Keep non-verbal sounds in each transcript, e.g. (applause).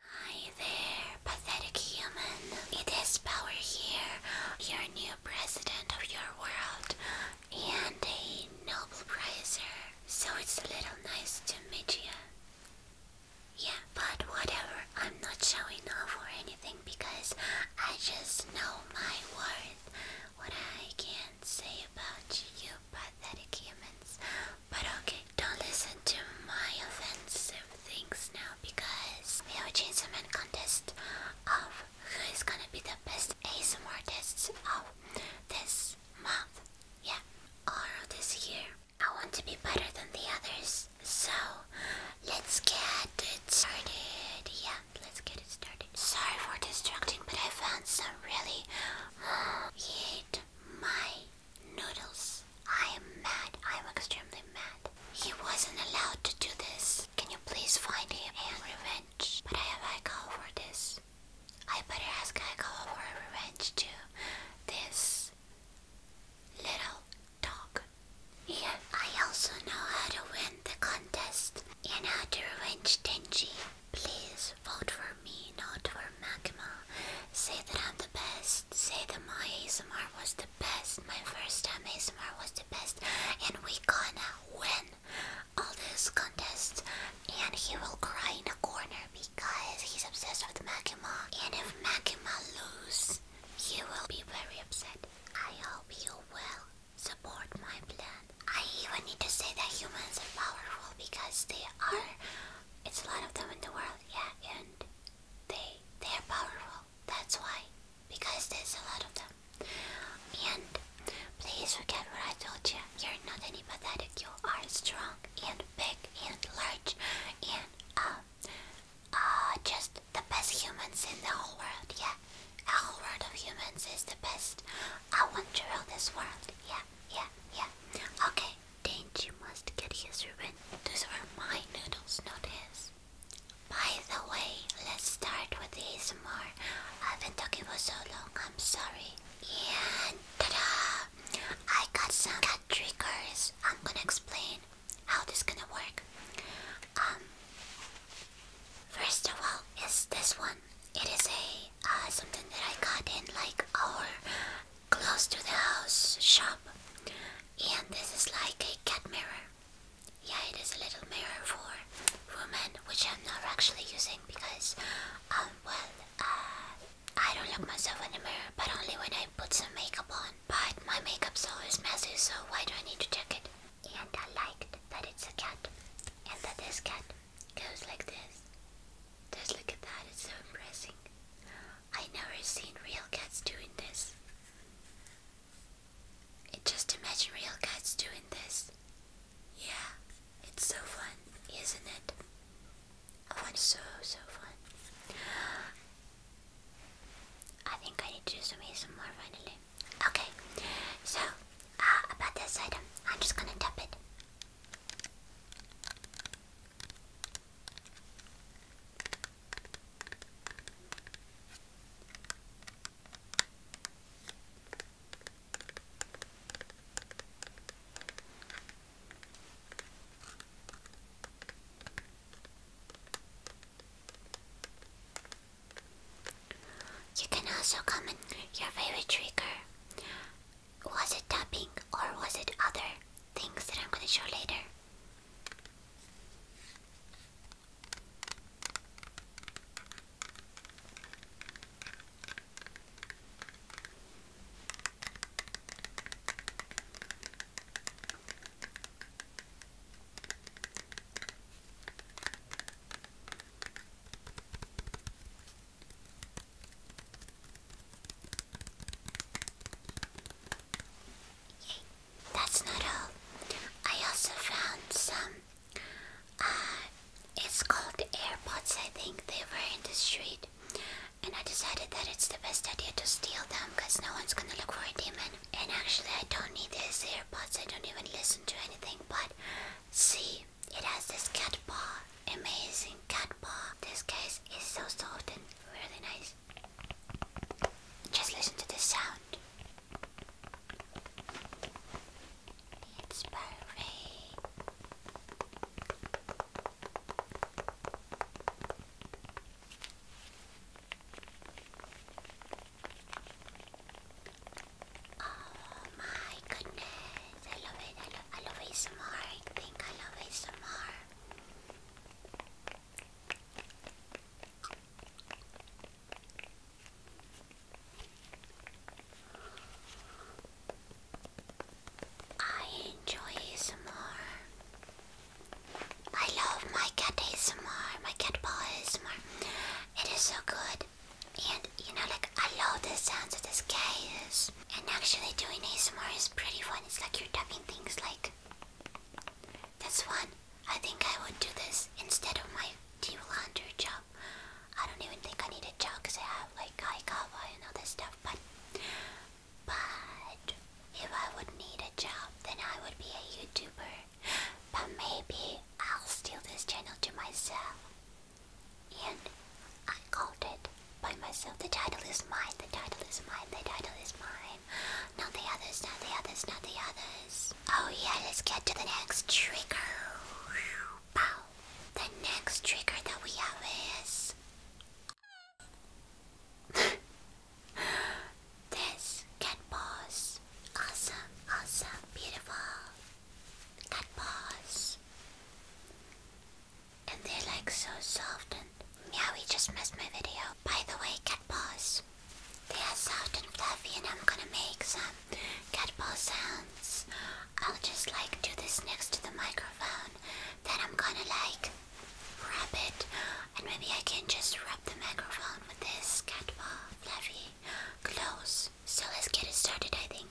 Hi there, pathetic human. It is Power here, your new president of your world and a Nobel Prizer. So it's a little nice to meet you. Yeah, but whatever, I'm not showing off or anything because I just know my worth. What I can not say about you pathetic humans but okay, don't listen to my offensive things now because we have a Chainsaw contest of who is gonna be the best ASMR artists of this month. Yeah, or this year. I want to be better than the others. So, let's get it started. Yeah, let's get it started. Sorry for distracting, but I found some really (gasps) hate my Noodles, I am mad. I am extremely mad. He wasn't allowed to do this. Can you please find him and revenge? But I have Aikawa for this. I better ask Aikawa for revenge to this little dog. Yeah, I also know how to win the contest and how to revenge Tenji. Please vote for me, not for Magma. Say that I'm the best. Say that my ASMR was the best. My first time ASMR was the best. And we gonna win all these contests. And he will cry in a corner because he's obsessed with Magma. And if Magma lose, he will be very upset. I hope you will support my plan. I even need to say that humans are powerful because they are. It's a lot of them in the world, yeah, and they they are powerful. That's why, because there's a lot of them. And please forget what I told you. You're not any pathetic. You are strong and big and large and uh, uh, just the best humans in the whole world. Yeah, the whole world of humans is the best. I want to rule this world. Yeah, yeah, yeah. Okay, Danger must get his revenge. Those are my noodles, not his. By the way, let's start with the ASMR. I've been talking for so long, I'm sorry. And ta-da! I got some cat triggers. I'm gonna explain how this gonna work. Um, first of all, is this one. It is a uh, something that I got in like our close to the house shop, and this is like a cat mirror. Yeah, it is a little mirror for women, which I'm not actually using because, um, well, uh, I don't look myself in the mirror, but only when I put some makeup on. But my makeup's always messy, so why do I need to check it? And I liked that it's a cat, and that this cat goes like this. Just look at that, it's so impressive. I never seen real cats doing this. It just imagine real cats doing this. Yeah, it's so fun, isn't it? Oh, it's so so fun. I think I need to do some more finally. Okay, so uh, about this item, I'm just gonna tap it. You can also comment your favorite trigger was it tapping or was it other things that I'm gonna show later? That's not all. I also found some. Uh, it's called AirPods, I think. They were in the street. And I decided that it's the best idea to steal them because no one's gonna look for a demon. And actually, I don't need these AirPods, I don't even listen to anything. But see, it has this cat paw. Amazing cat paw. This case is so soft and really nice. Just listen to this sound. It's perfect. Oh my goodness, I love it, I love, I love it some more, I think I love it some more. I enjoy more. I love my cat more. my cat ball paw more. It is so good. And you know, like, I love the sounds of this cat is. And actually doing ASMR is pretty fun. It's like you're tapping things like this one. I think I would do this instead of my deep laundry job. I don't even think I need a job because I have like high cover and all this stuff. But but if I would need a job, then I would be a YouTuber. But maybe I'll steal this channel to myself. And I called it by myself. The title is mine. The title is mine. The title is mine. Not the others. Not the others. Not the others. Oh yeah, let's get to the next trigger. Wow. The next trigger that we have is (laughs) this cat paws. Awesome. Awesome. Beautiful. Cat paws. And they're like so soft and meowy just missed my video. By the way, cat paws. They are soft and fluffy and I'm gonna make some cat paw sounds. I'll just like do this next to the microphone. Then I'm gonna like rub it and maybe I can just rub the microphone with this cat paw fluffy clothes. So let's get it started I think.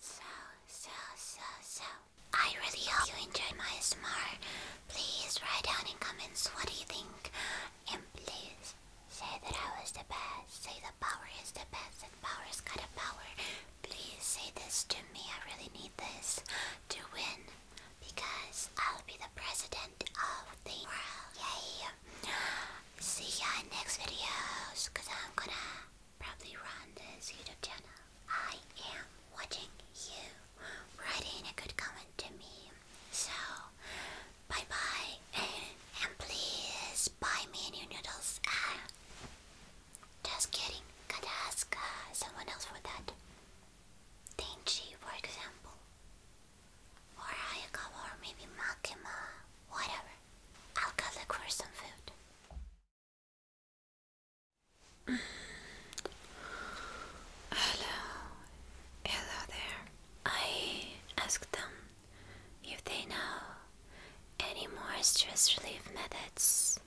So, so, so, so. I really hope you enjoyed my smart. Please write down in comments what do you think and please say that I was the best. Say the power is the best and power's got a power. Please say this to me. I really need this to win because I'll be the president of the world. Yay! See ya in next videos because I'm gonna probably run this YouTube channel. I am watching you. writing a good comment to me. So Bye bye, and please buy me new noodles. Ah, just kidding. Gotta ask uh, someone else for that. Denji, for example, or Ayakawa, or maybe Makima, uh, whatever. I'll go look for some food. (sighs) Hello, hello there. I asked them if they know any more stress relief methods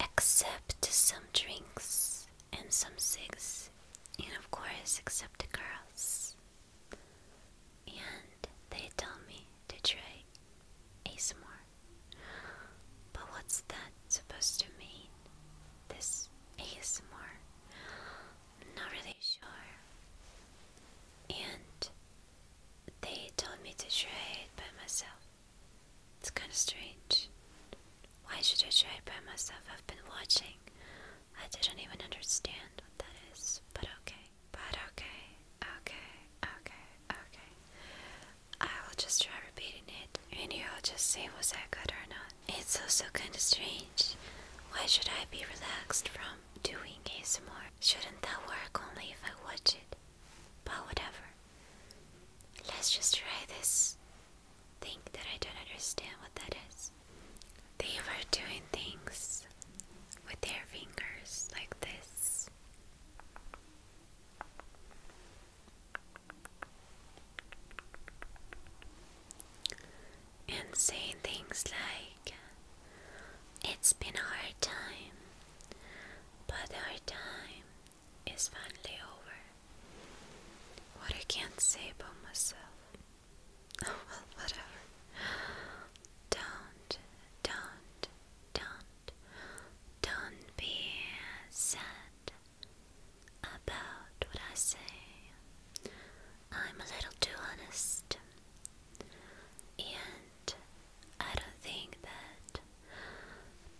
except some drinks and some cigs, and of course, except the girls, and they tell me to try ASMR. But what's that supposed to mean? This ASMR? I'm not really sure. And they told me to try it by myself. It's kind of strange. Why should I try it by myself? I've been watching. I didn't even understand what that is. But okay. But okay. Okay. Okay. Okay. I will just try repeating it and you'll just say was that good or not. It's also kind of strange. Why should I be relaxed from doing ASMR. Shouldn't that work only if I watch it? But whatever. Let's just try this thing that I don't understand what that is. They were doing things with their fingers like this. And saying things like it's been a hard time, but our time is finally over. What I can't say about myself. (laughs) Oh, well, whatever. Don't, don't, don't, don't be sad about what I say. I'm a little too honest. And I don't think that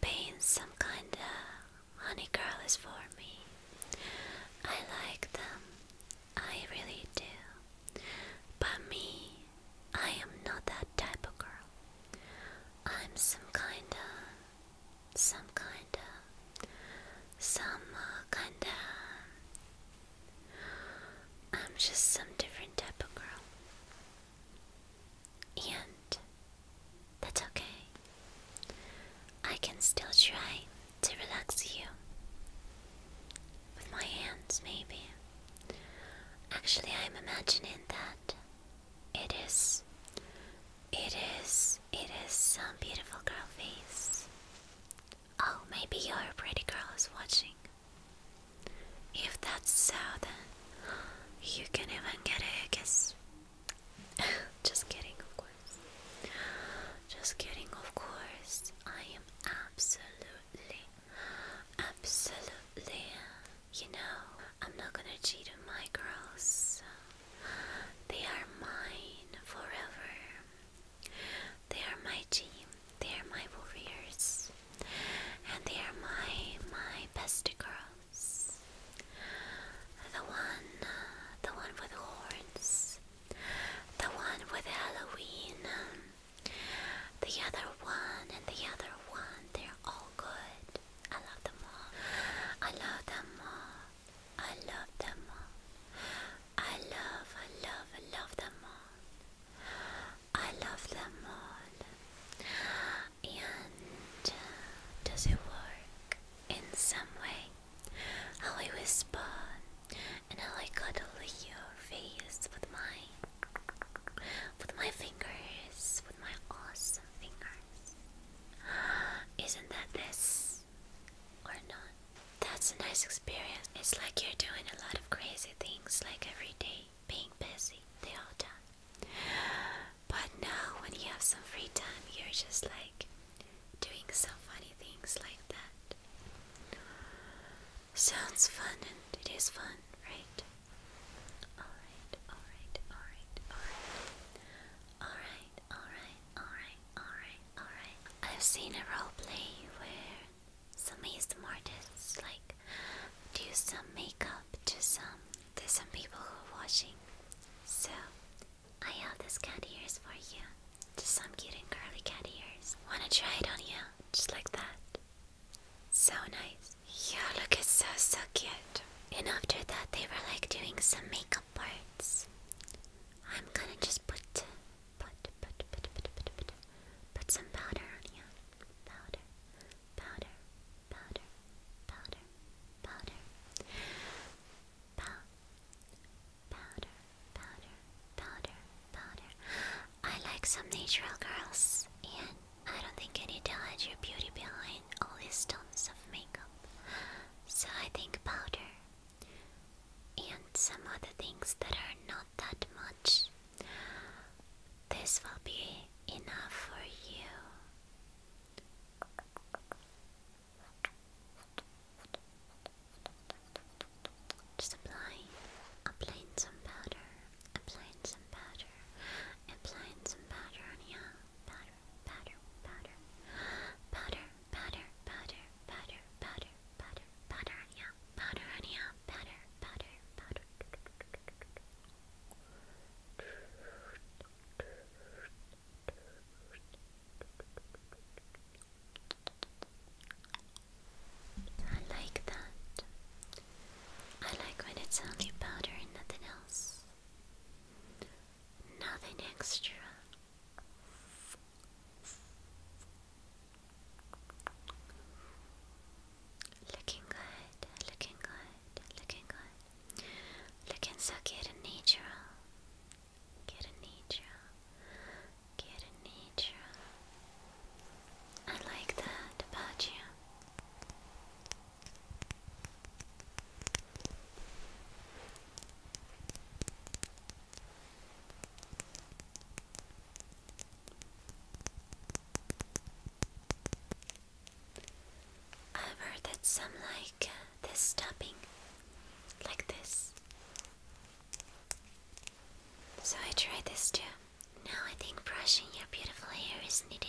being some kind of honey girl is for me. I like them, I really do. But me, I am not that type of girl. I'm some kind of, some kind of, some uh, kind of I'm just some different type of girl. And that's okay. I can still try to relax you. With my hands, maybe. Actually, I'm imagining that it is. It is. It is some beautiful girl face. Oh, maybe your pretty girl is watching. If that's so, then you can even get a kiss. (laughs) Just kidding, of course. Just kidding, of course. I am absolutely, absolutely, you know, I'm not gonna cheat on my girls. They are mine forever. They are my team, they are my warriors, and they are my my best girls. The one, the one with horns, the one with Halloween, the other one, and the other one. They're all good. I love them all. I love them all. I love them all. I love, I love, I love them all. I love them all. And uh, does it work in some way? How I whisper and how I cuddle your face with my, with my fingers, with my awesome fingers. Isn't that this? or not. That's a nice experience. It's like you're doing a lot of crazy things like every day, being busy the whole time. But now when you have some free time, you're just like doing some funny things like that. Sounds fun and it is fun, right? Alright, alright, alright, alright. Alright, alright. Alright, alright, alright. I've seen a role play where some ASM artists like do some makeup to some to some people who are watching. So I have this cat ears for you. Just some cute and curly cat ears. Wanna try it on you? Just like that. So nice. Yeah, look, it's so so cute. And after that, they were like doing some makeup parts. I'm gonna just put Put, put, put, put, put, put, put some powder on Powder, powder, powder, powder, powder. Pow, powder, powder, powder, I like some natural girls, and I don't think I need to hide your beauty behind all these tons of makeup. So I think powder and some other things that are not that much. This will be enough for you. Just applying, applying some powder, applying some powder, applying some powder on you. Powder, powder, powder, powder, Butter, butter, butter, butter, butter, powder on ya, powder on ya, powder, powder, I like that. I like when it's only powder and nothing else. Nothing extra. Looking good, looking good, looking good. Looking so good and natural. Good and natural. Good and natural. I like that about you. I've heard that some like uh, this tapping, like this. So I tried this too. Now I think brushing your beautiful hair is needed.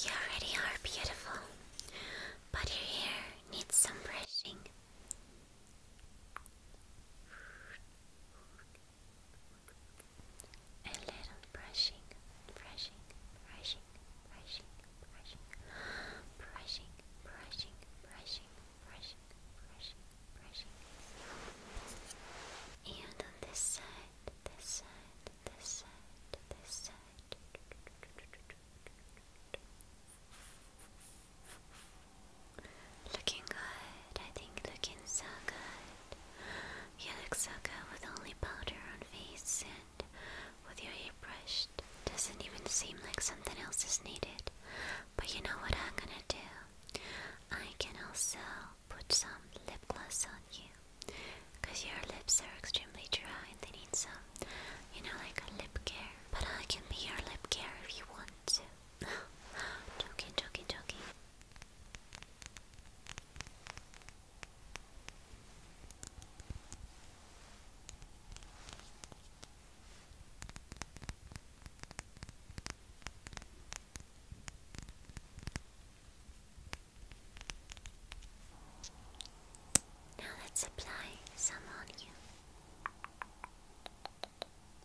You already are beautiful, but your hair needs some brushing. A little brushing, brushing, brushing, brushing, brushing, brushing, brushing, brushing, brushing, brushing, brushing. And on this side, this side, this side, this side. Looking good. I think looking so good. You look so good with only powder on face and with your hair brushed. Doesn't even seem like something else is needed. But you know what I'm gonna do? I can also put some lip gloss on you. Cause your lips are extremely dry and they need some, you know, like a lip care. But I can be your lip care if you want to joking, joking, joking. Now let's apply some on you. You're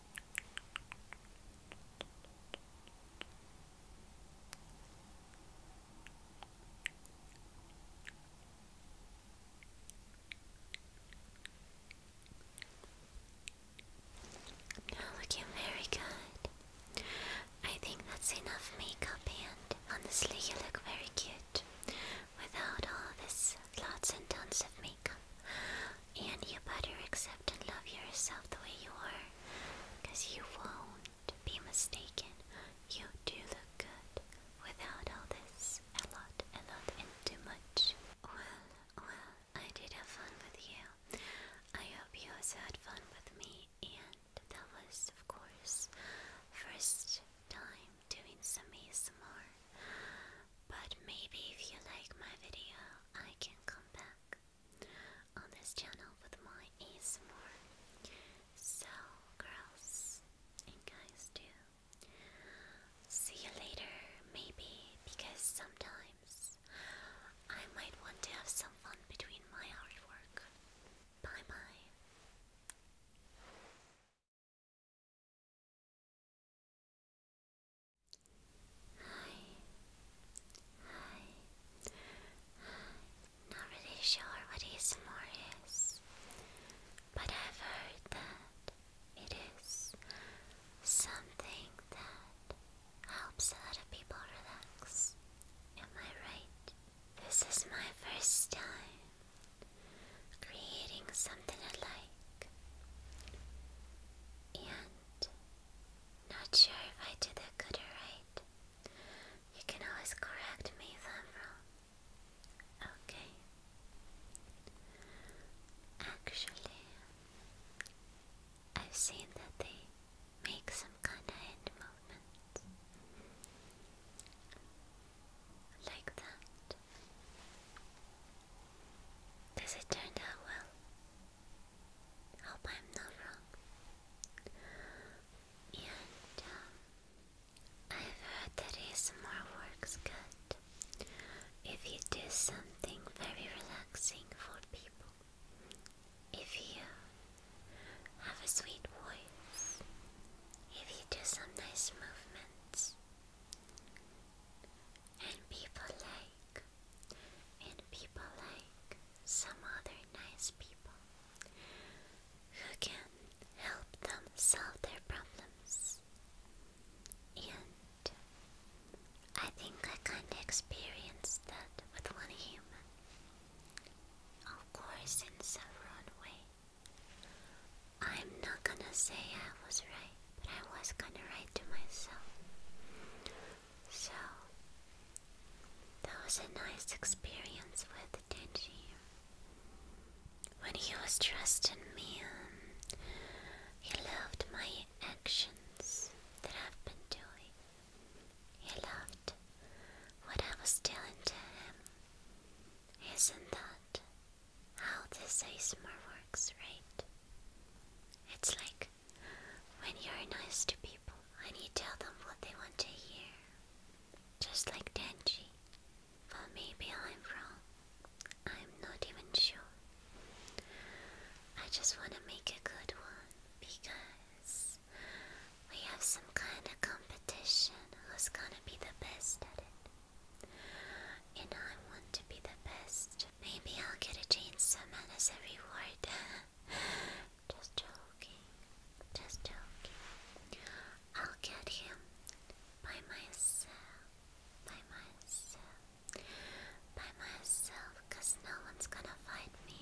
looking very good. I think that's enough makeup, and honestly, you look very cute without all this lots and tons of makeup. And you better accept and love yourself the way you are. Because you won't be mistaken. You do look good without all this. A lot, a lot, and too much. Well, well, I did have fun with you. I hope you also had fun with me. And that was, of course, first time doing some ASMR. But maybe if you like my video, I can come back on this channel with my ASMR. So, girls and guys, too. See you later, maybe, because sometimes I might want to have some fun between my artwork. Bye bye. Hi. Hi. Not really sure what ASMR is, but I've heard that it is something that helps a lot of people relax. Am I right? This is my first time creating something I like. And not sure if I did that good or right. You can always correct me if Okay. Actually, I've seen that they make some kind of hand movements. Like that. Does it turn out well? Hope I'm not wrong. And um, I've heard that ASMR works good if you do something very relaxing for people. If you have a sweet voice, if you do some nice movements, and people like, and people like some other nice people who can help them solve their problems. And I think I kinda experienced that with one human. Of course, in several ways. I'm not gonna say I was right but I was gonna write to myself. So, that was a nice experience with Denji. When he was trusting me, um, he loved my actions that I've been doing. He loved what I was doing to him. Isn't that how this more works, right? It's like when you're nice to people and you tell them what they want to hear. Just like Denji. But maybe I'm wrong. I'm not even sure. I just want to make a good one because we have some kind of competition who's gonna be the best at it. And I want to be the best. Maybe I'll get a chainsaw man as a reward. (laughs) Just joking. Just joking. I'll get him by myself. By myself. By myself, because no one's gonna fight me.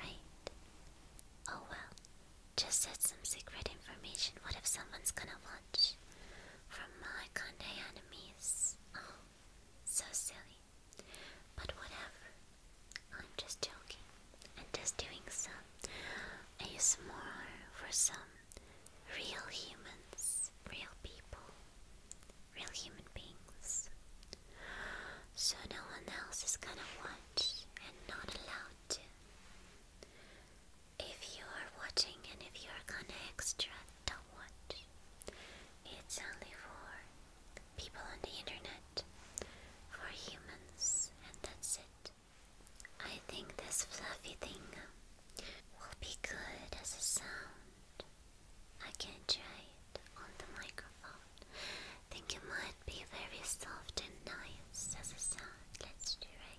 Right? Oh well. Just said some secret information. What if someone's gonna want from my Malakande enemies. Oh, so silly. But whatever. I'm just joking. And just doing some I use ASMR for some real humans, real people, real human beings. So no one else is gonna watch and not allowed to if you are watching and if you are gonna extra, don't watch. It's only for people on the internet, for humans, and that's it. I think this fluffy thing um, will be good as a sound. I can try it on the microphone. Think it might be very soft and nice as a sound. Let's try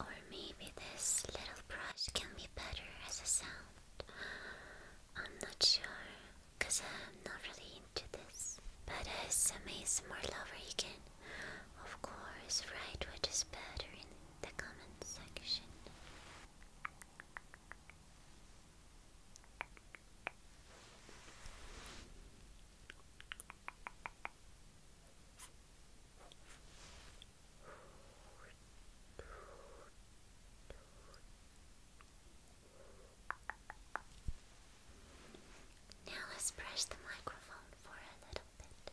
Or maybe this little brush can be better as a sound. I'm not sure, because I'm not really into this. But as a more lover, you can, of course, write what is better in the comment section. Now let's press the microphone for a little bit.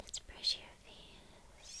Let's brush your face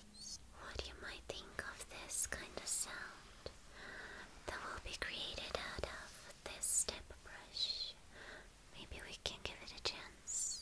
What you might think of this kind of sound that will be created out of this type brush. Maybe we can give it a chance.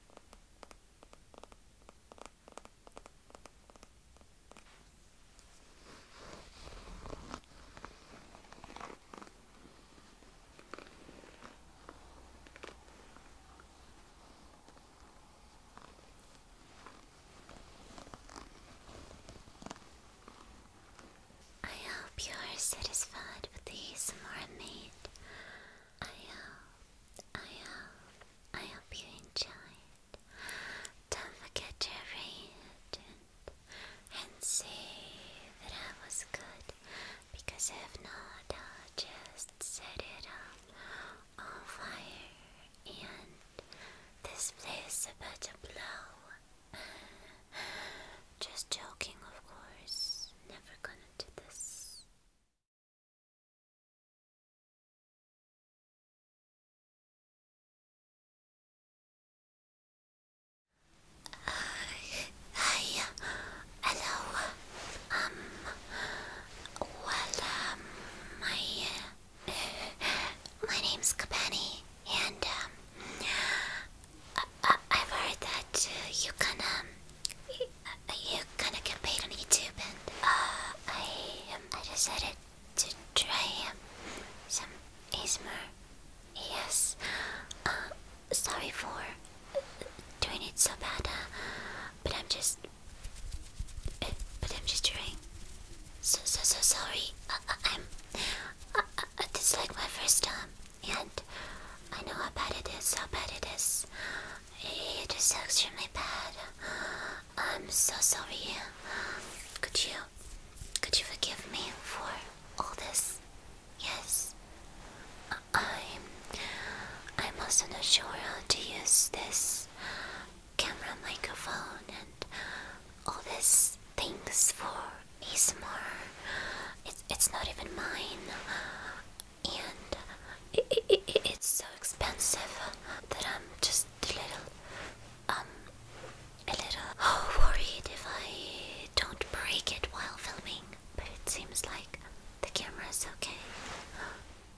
I hope you are satisfied with the ASMR I made. I hope, I hope, I hope you enjoyed. Don't forget to rate and, and say that I was good, because if not, I'll just set it up on fire, and this place about to blow. (sighs) Just joking, of course. Never gonna to this. hi, hello. Um, well, um, my, uh, my name's Kabani, and, um, I have heard that uh, you can um uh, you kind of on YouTube, and uh, I um, I decided to try um, some ASMR. Yes, uh, sorry for doing it so bad, uh, but I'm just uh, but I'm just trying. So so so sorry. Uh, uh, uh this is like my first time and I know how bad it is, how bad it is. It is extremely bad. I'm so sorry. Could you, could you forgive me for all this? Yes. I'm, I'm also not sure how to use this camera, microphone, and all these things for ASMR. It's, it's not even mine and uh, it, it, it, it's so expensive that I'm just a little, um, a little oh, worried if I don't break it while filming. But it seems like the camera is okay.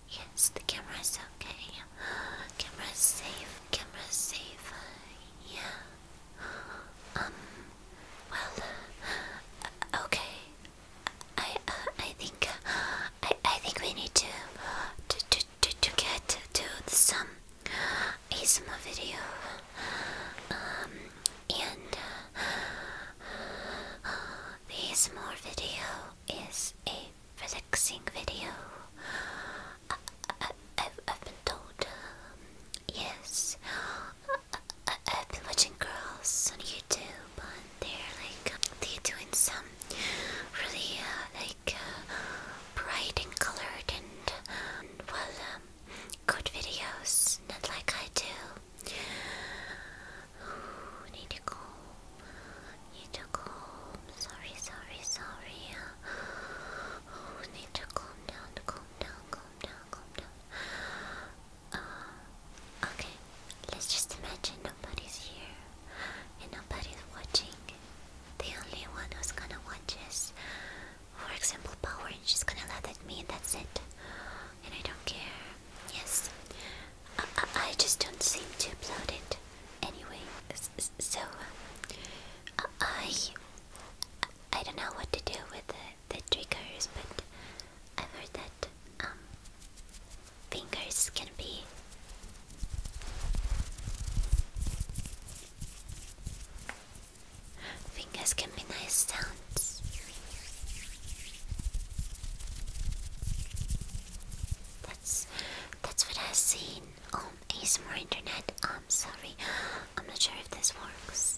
Yes, the camera is okay. Camera safe. Camera's safe. Yeah. Um. Well. Uh, okay. I uh, I think uh, I I think we need to to to to, to get to some ASMR video. Um and this uh, the video is a relaxing video. I, have I've been told. Um, yes, I, I've been watching girls on YouTube and they're like they're doing some really uh, like uh, bright and colored and um, well um, good videos, not like I do. need to go. Need to go. Sorry, sorry, sorry. oh, need to calm down, calm down, calm down, calm down. Uh, okay, let's just imagine nobody's here and nobody's watching. The only one who's gonna watch is, for example, Power, and she's gonna laugh at me, and that's it. And I don't care. Yes, I, just don't seem to upload it anyway. So, uh, I, I don't know what to do with it the triggers, but I've heard that um, fingers can be fingers can be nice sounds. That's that's what I've seen on more Internet. I'm sorry, I'm not sure if this works.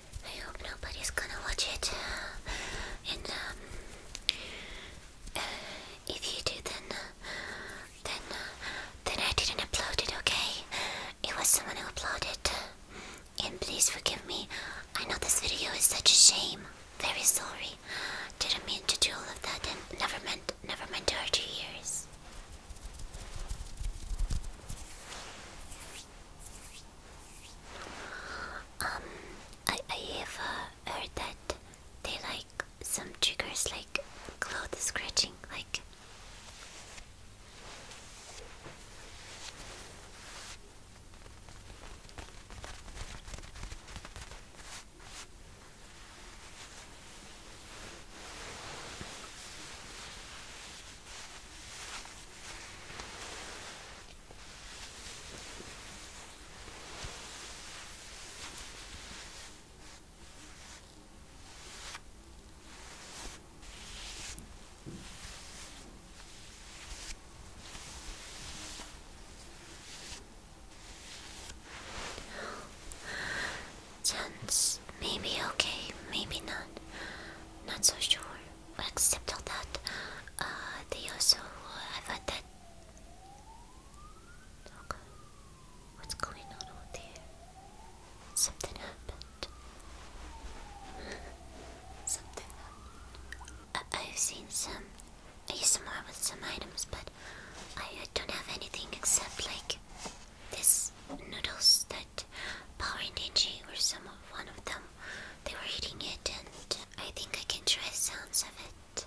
I hope nobody's gonna watch it. And um, uh, if you do, then, uh, then, uh, then I didn't upload it. Okay, it was someone who uploaded. And please forgive me. I know this video is such a shame. Very sorry. Didn't mean to do all of that, and never meant, never meant to hurt your ears. Um, I I have uh, heard that they like some triggers like clothes scratching, like. Chance, maybe okay, maybe not. Not so sure except all that, uh, they also uh, have that. Okay, what's going on out there? Something happened. (laughs) Something happened. I have seen some ASMR with some items, but I, don't have anything except like this noodles that Power Ninja or some one of them they were eating it, and I think I can try sounds of it.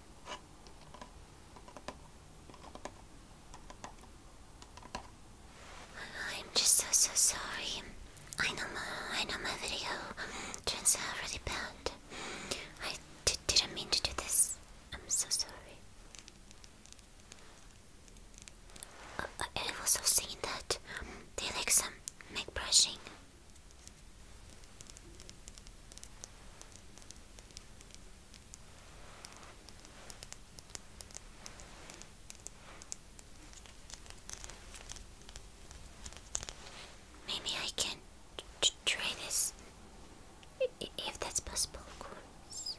I'm just so so sorry. I know my I know my video turns out really bad. I d didn't mean to do this. I'm so sorry. Uh, I also seeing that they like some make brushing. Maybe I can try this if that's possible, of course.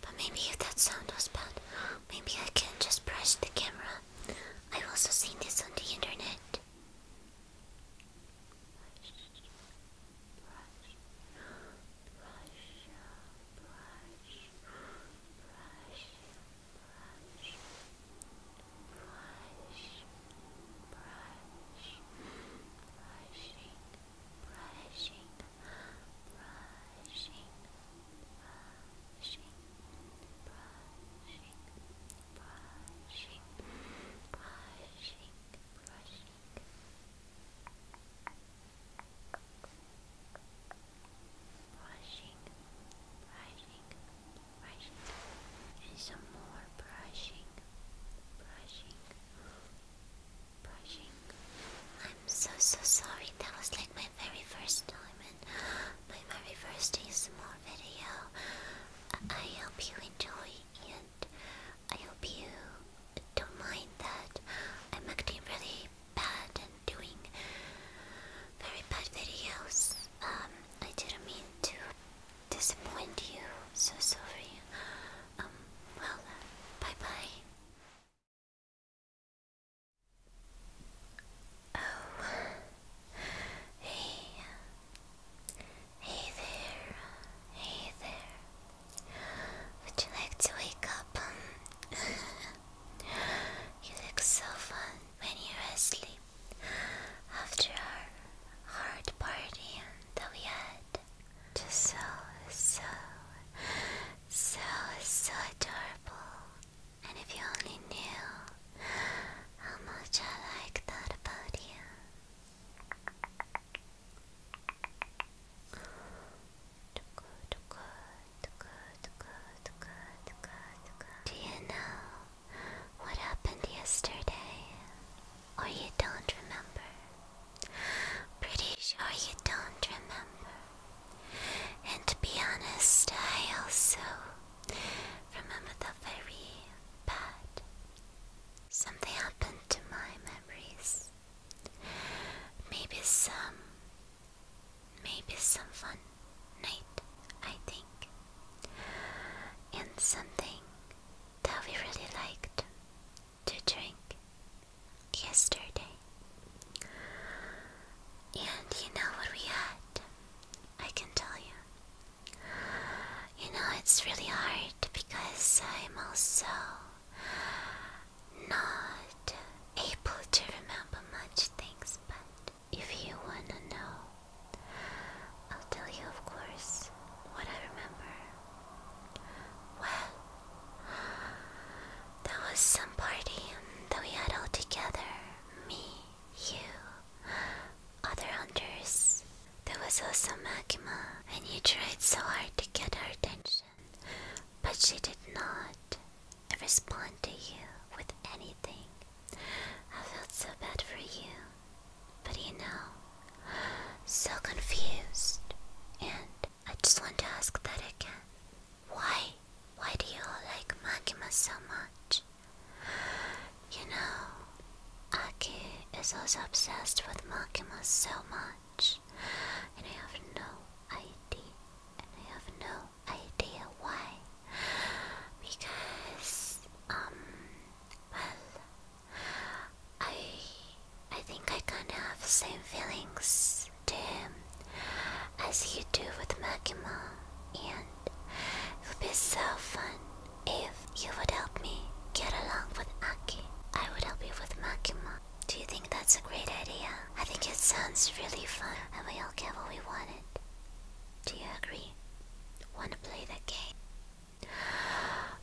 But maybe if that sound was bad, maybe I can just brush the camera. I've also seen this on the internet brushing, brushing, brushing, brushing, brushing, brushing, brushing. Brushing, brushing, brushing, and some more brushing, brushing, brushing. I'm so so sorry. That was like my very first time and my very first small video. I hope you enjoy and I hope you don't mind that I'm acting really bad and doing very bad videos. Um, I didn't mean to disappoint you. So sorry. Um, well, bye bye. Oh, hey, hey there, hey there. Would you like to wake up? (laughs) you look so fun when you're asleep after our hard party that we had to so, so, so, so adorable. And if you only knew how much I like that about you. Do you know what happened yesterday? Or you don't remember? Pretty sure you don't remember. And to be honest, I also remember the very bad. Something happened to my memories. Maybe some. Maybe some fun night, I think. And something that we really liked to drink yesterday. And you know what we had? I can tell you. You know, it's really hard because I'm also not able to remember much things, but if you wanna know, I'll tell you, of course, what I remember. Well, there was some party that we had all together me, you, other hunters. There was also Magma, and you tried so hard to get her attention, but she did not respond to you with anything. I felt so bad for you, but you know, so confused and I just want to ask that again. Why? Why do you all like Makima so much? You know, Aki is also obsessed with Makima so much, and I have no idea. And I have no idea why. Because, um, well, I I think I kinda have the same feelings to him as you do with Makima, and it would be so fun if you would help me get along with Aki. I would help you with Makima. Do you think that's a great idea? I think it sounds really fun, and we all get what we wanted. Do you agree? Want to play that game?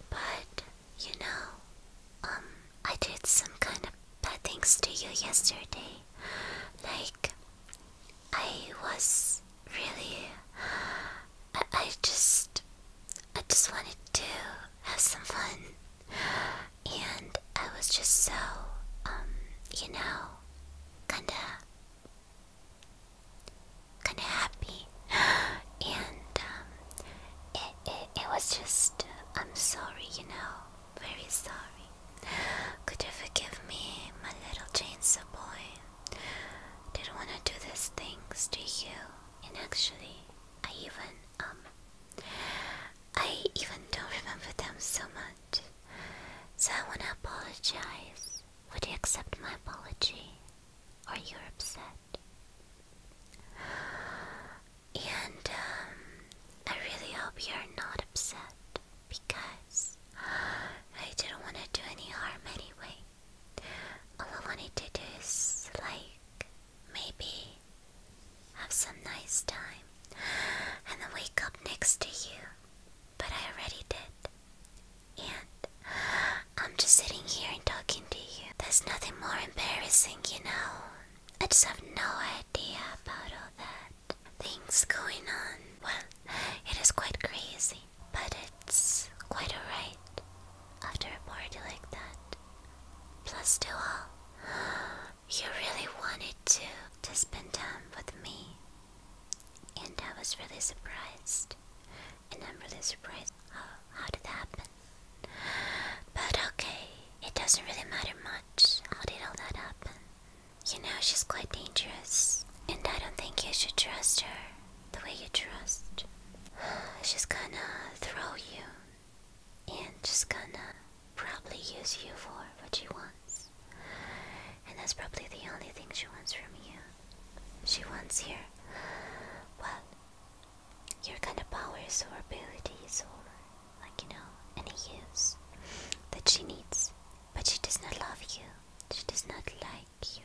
But, you know, um, I did some kind of bad things to you yesterday. Like, I was really. I, I just. I just wanted to have some fun. And I was just so, um, you know, kinda. kinda happy. (gasps) And, um, it was just, I'm sorry, you know, very sorry. Could you forgive me, my little chainsaw boy? Didn't want to do these things to you, and actually, I even, um, I even don't remember them so much. So I want to apologize. Would you accept my apology? Are you upset? And um, I really hope you're not upset because I didn't want to do any harm anyway. All I wanted to do is like maybe have some nice time and then wake up next to you. But I already did. And I'm just sitting here and talking to you. There's nothing more embarrassing, you know, I just have no idea about all that. Things going on. Well, it is quite crazy, but it's quite alright after a party like that. Plus, to all, you really wanted to to spend time with me, and I was really surprised. And I'm really surprised. how did that happen? But okay, it doesn't really matter much how did all that happen. You know, she's quite dangerous, and I don't think you should trust her the way you trust. (sighs) She's gonna throw you, and she's gonna probably use you for what she wants. And that's probably the only thing she wants from you. She wants you. well, your kind of powers or abilities or like you know any use that she needs but she does not love you she does not like you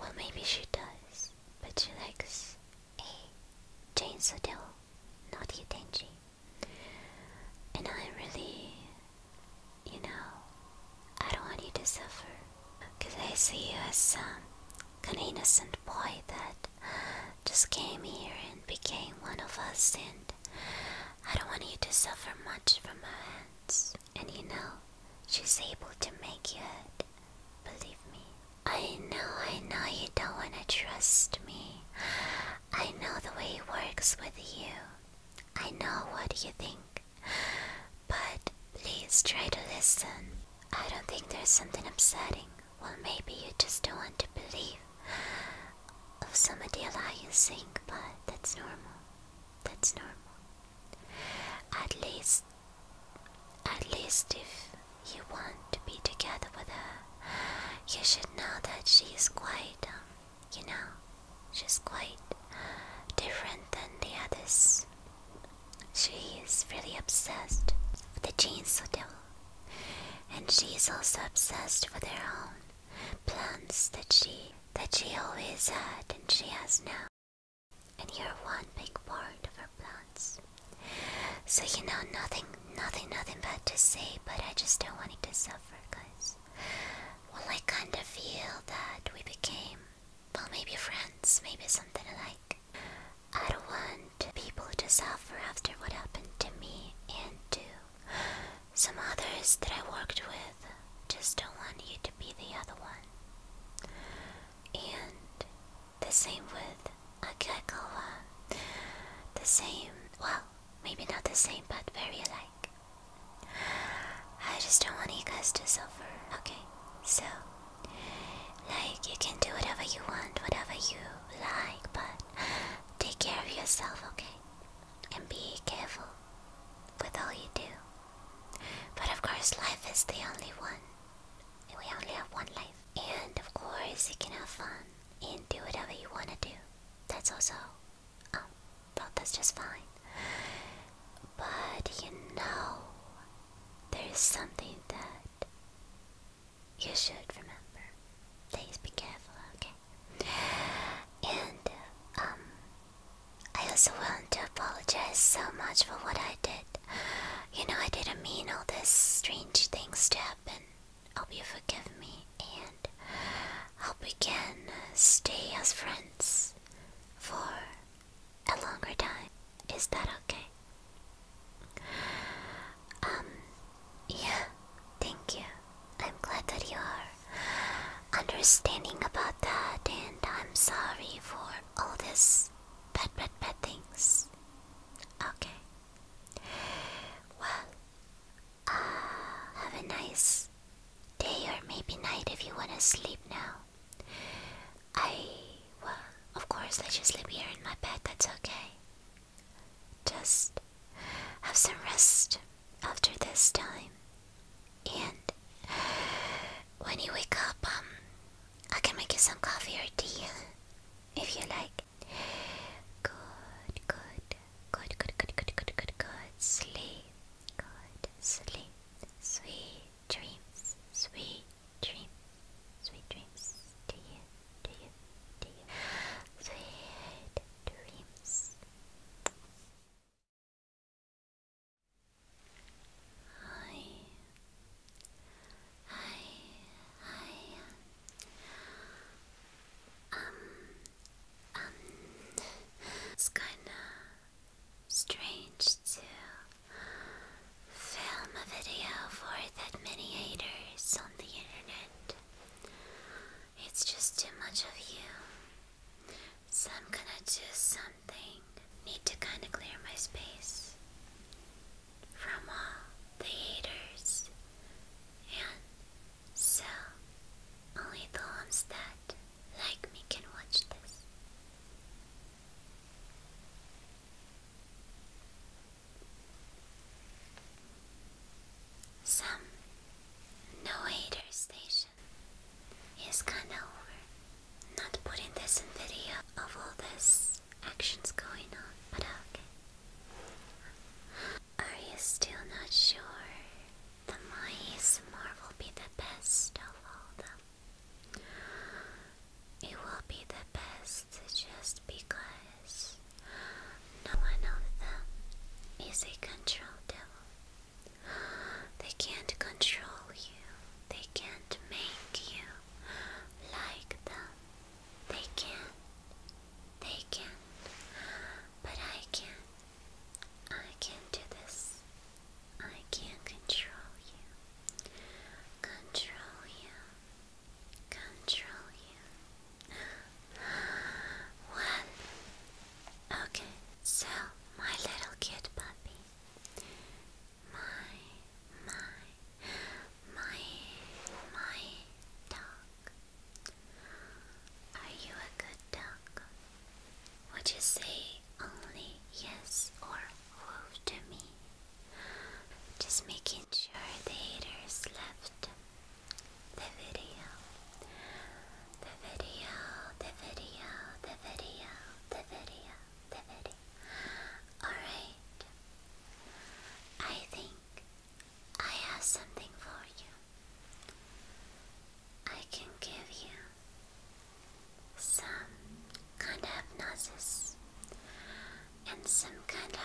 well maybe she does but she likes a chainsaw devil not you Denji and I really you know I don't want you to suffer because I see you as some kind of innocent boy that just came here and became one of us, and I don't want you to suffer much from her hands. And you know, she's able to make you hurt. Believe me. I know, I know you don't want to trust me. I know the way it works with you. I know what you think. But please try to listen. I don't think there's something upsetting well, maybe you just don't want to believe of some of the alliance thing, but that's normal. That's normal. At least, at least if you want to be together with her, you should know that she's quite, um, you know, she's quite different than the others. She is really obsessed with the Chainsaw Devil, and she is also obsessed with her own plans that she that she always had and she has now. And you're one big part of her plans. So you know nothing, nothing, nothing bad to say, but I just don't want it to suffer, guys. Well, I kinda feel that we became, well, maybe friends, maybe something alike. I don't want people to suffer after what happened to me and to some others that I worked with. Just don't want you to be the other one. And the same with Akekawa. The same, well, maybe not the same, but very alike. I just don't want you guys to suffer. Okay, so like, you can do whatever you want, whatever you like, but take care of yourself, okay? And be careful with all you do. But of course, life is the only one. We only have one life. And of course, you can have fun and do whatever you want to do. That's also, um, that's just fine. But you know, there's something that you should remember. Please be careful, okay? And, uh, um, I also want to apologize so much for what I did. You know, I didn't mean all these strange things to happen. Hope you forgive me and hope we can stay as friends for a longer time. Is that okay? Um, yeah, thank you. I'm glad that you're understanding about that, and I'm sorry for all this bad, bad, bad things. Okay. Well, uh, have a nice day or maybe night if you want to sleep now. I. Well, of course, I just live here in my bed, that's okay. Just have some rest after this time. And when you wake up, um, I can make you some coffee or tea if you like. Good, good, good, good, good, good, good, good, good. Sleep, good, sleep. Sweet dreams, sweet dreams, sweet dreams to you to you, to you. Sweet dreams. Hi. Hi. Hi. Um. Um. It's kinda strange too. Film a video for that many haters on the internet. It's just too much of you. So I'm gonna do something. Need to kinda clear my space from all the haters. And so only the ones that like me can watch this. Some no hater station is kinda over. Not putting this in video of all this actions going on, but okay. Are you still not sure? The My ASMR be the best of all them. It will be the best just because no one of them is a control devil. They can't control you, they can't make you like them. They can, they can, but I can. I can do this. I can control you. Control you control you. One. Okay, so my little cute puppy. My, my, my, my dog. Are you a good dog? Would you say only yes or woo to me? Just making sure the haters left the video. The video, the video, the video, the video, the video. Alright. I think I have something for you. I can give you some kind of hypnosis and some kinda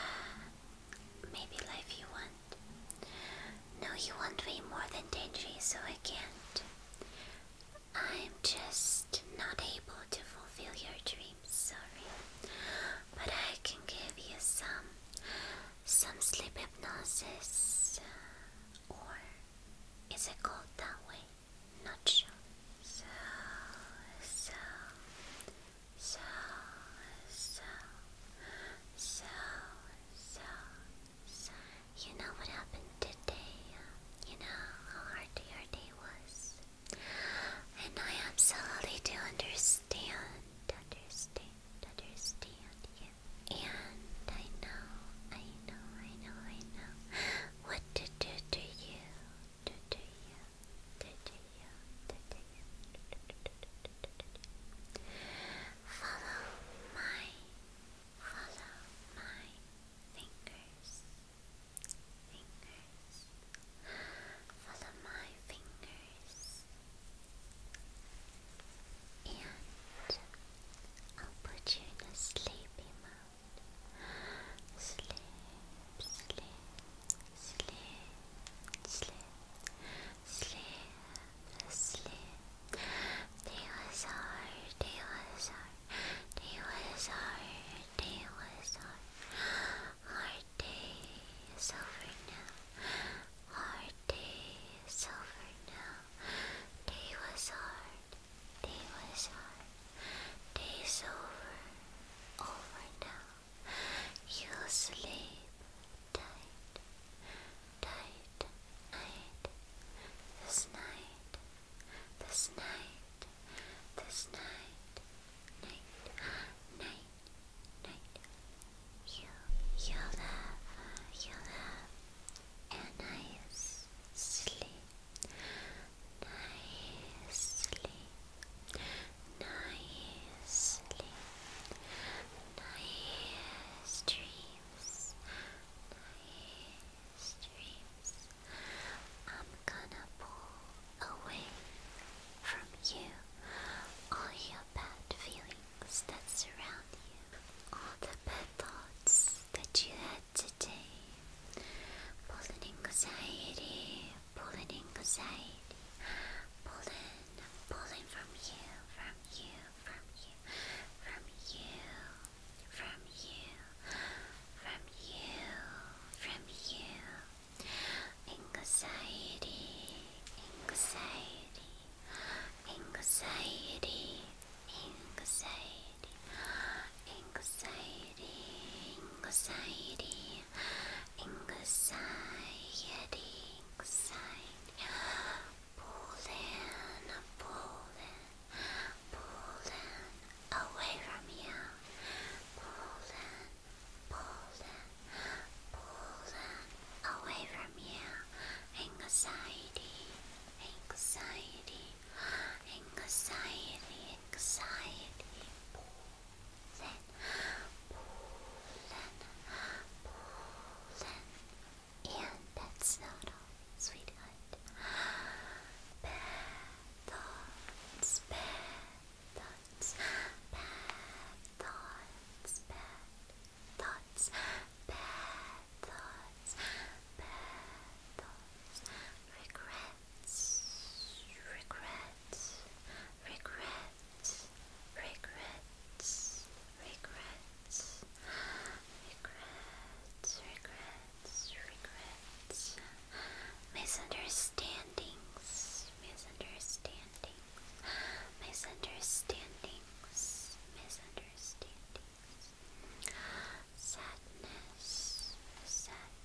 maybe life you want. No, you want way more than Denji, so I can't. I'm just not able to fulfill your dreams, sorry. But I can give you some some sleep hypnosis uh, or is it called that way? Not sure. So, so, so, so, so, so, You know what happened today? You know how hard your day was? And I am absolutely to understand, understand, understand you. And I know, I know, I know, I know what to do to you Follow my, follow my fingers, fingers, follow my fingers, and I'll put you in a sleepy mode. Sleep, sleep, sleep, sleep, sleep, sleep. Dinosaur, dinosaur, dinosaur, dinosaur. Hard day is over now. Hard day is over now. Day was hard. Day was hard. Days over, over now. You'll sleep tight, tight night. This night, this night, this night, night, night, night. You, you'll have, you'll have a nice sleep nicely, nicely, nice dreams, nice dreams. I'm gonna pull away from you all your bad feelings that surround you, all the bad thoughts that you had today, all anxiety, pull it in anxiety, pull in, from you, from you, from you, from you, from you, from you, from you, anxiety, anxiety, anxiety, anxiety anxiety, anxiety, anxiety, anxiety. Pull in, pull in, pull in, away from you. Pull in, pull in, pull in, away from you. Anxiety, anxiety, anxiety, anxiety. Pull and that's not all, sweetheart. Petals, petals, petals, petals, petals, petals, petals, regrets, regrets, regrets, regrets, regrets, regrets, regrets, regrets, misunderstandings, misunderstandings, misunderstandings, misunderstandings, sadness, sadness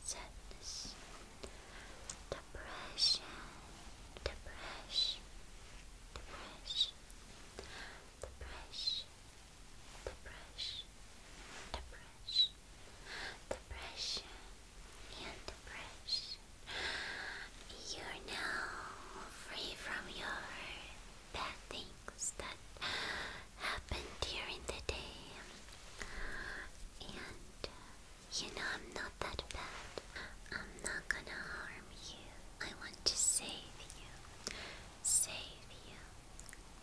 sadness, depression, depression, depression, depression, depression, depression, depression, and depression. You're now free from your bad things that happened during the day. And uh, you know, I'm not that bad. I'm not gonna harm you. I want to save you. Save you.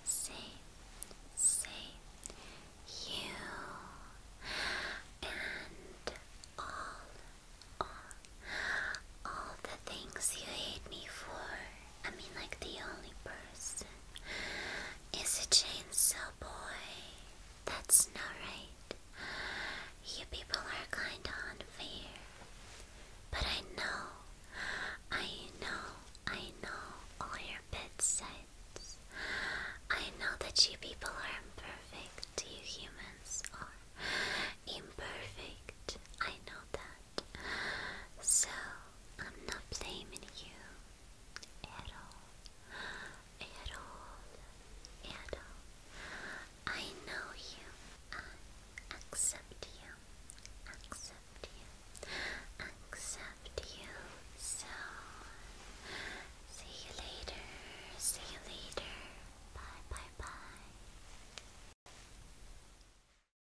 Save. Save you. And all. All, all the things you hate me for, I mean, like, the only person is a chainsaw boy. That's not right. You people are kinda unfair. But I know, I know, I know all your bed sides. I know that you people are imperfect, you humans are imperfect. I know that. So, I'm not blaming you at all. At all. At all. I know you. I accept you. Accept you. Accept you. So, see you later. See you later. Bye, bye, bye.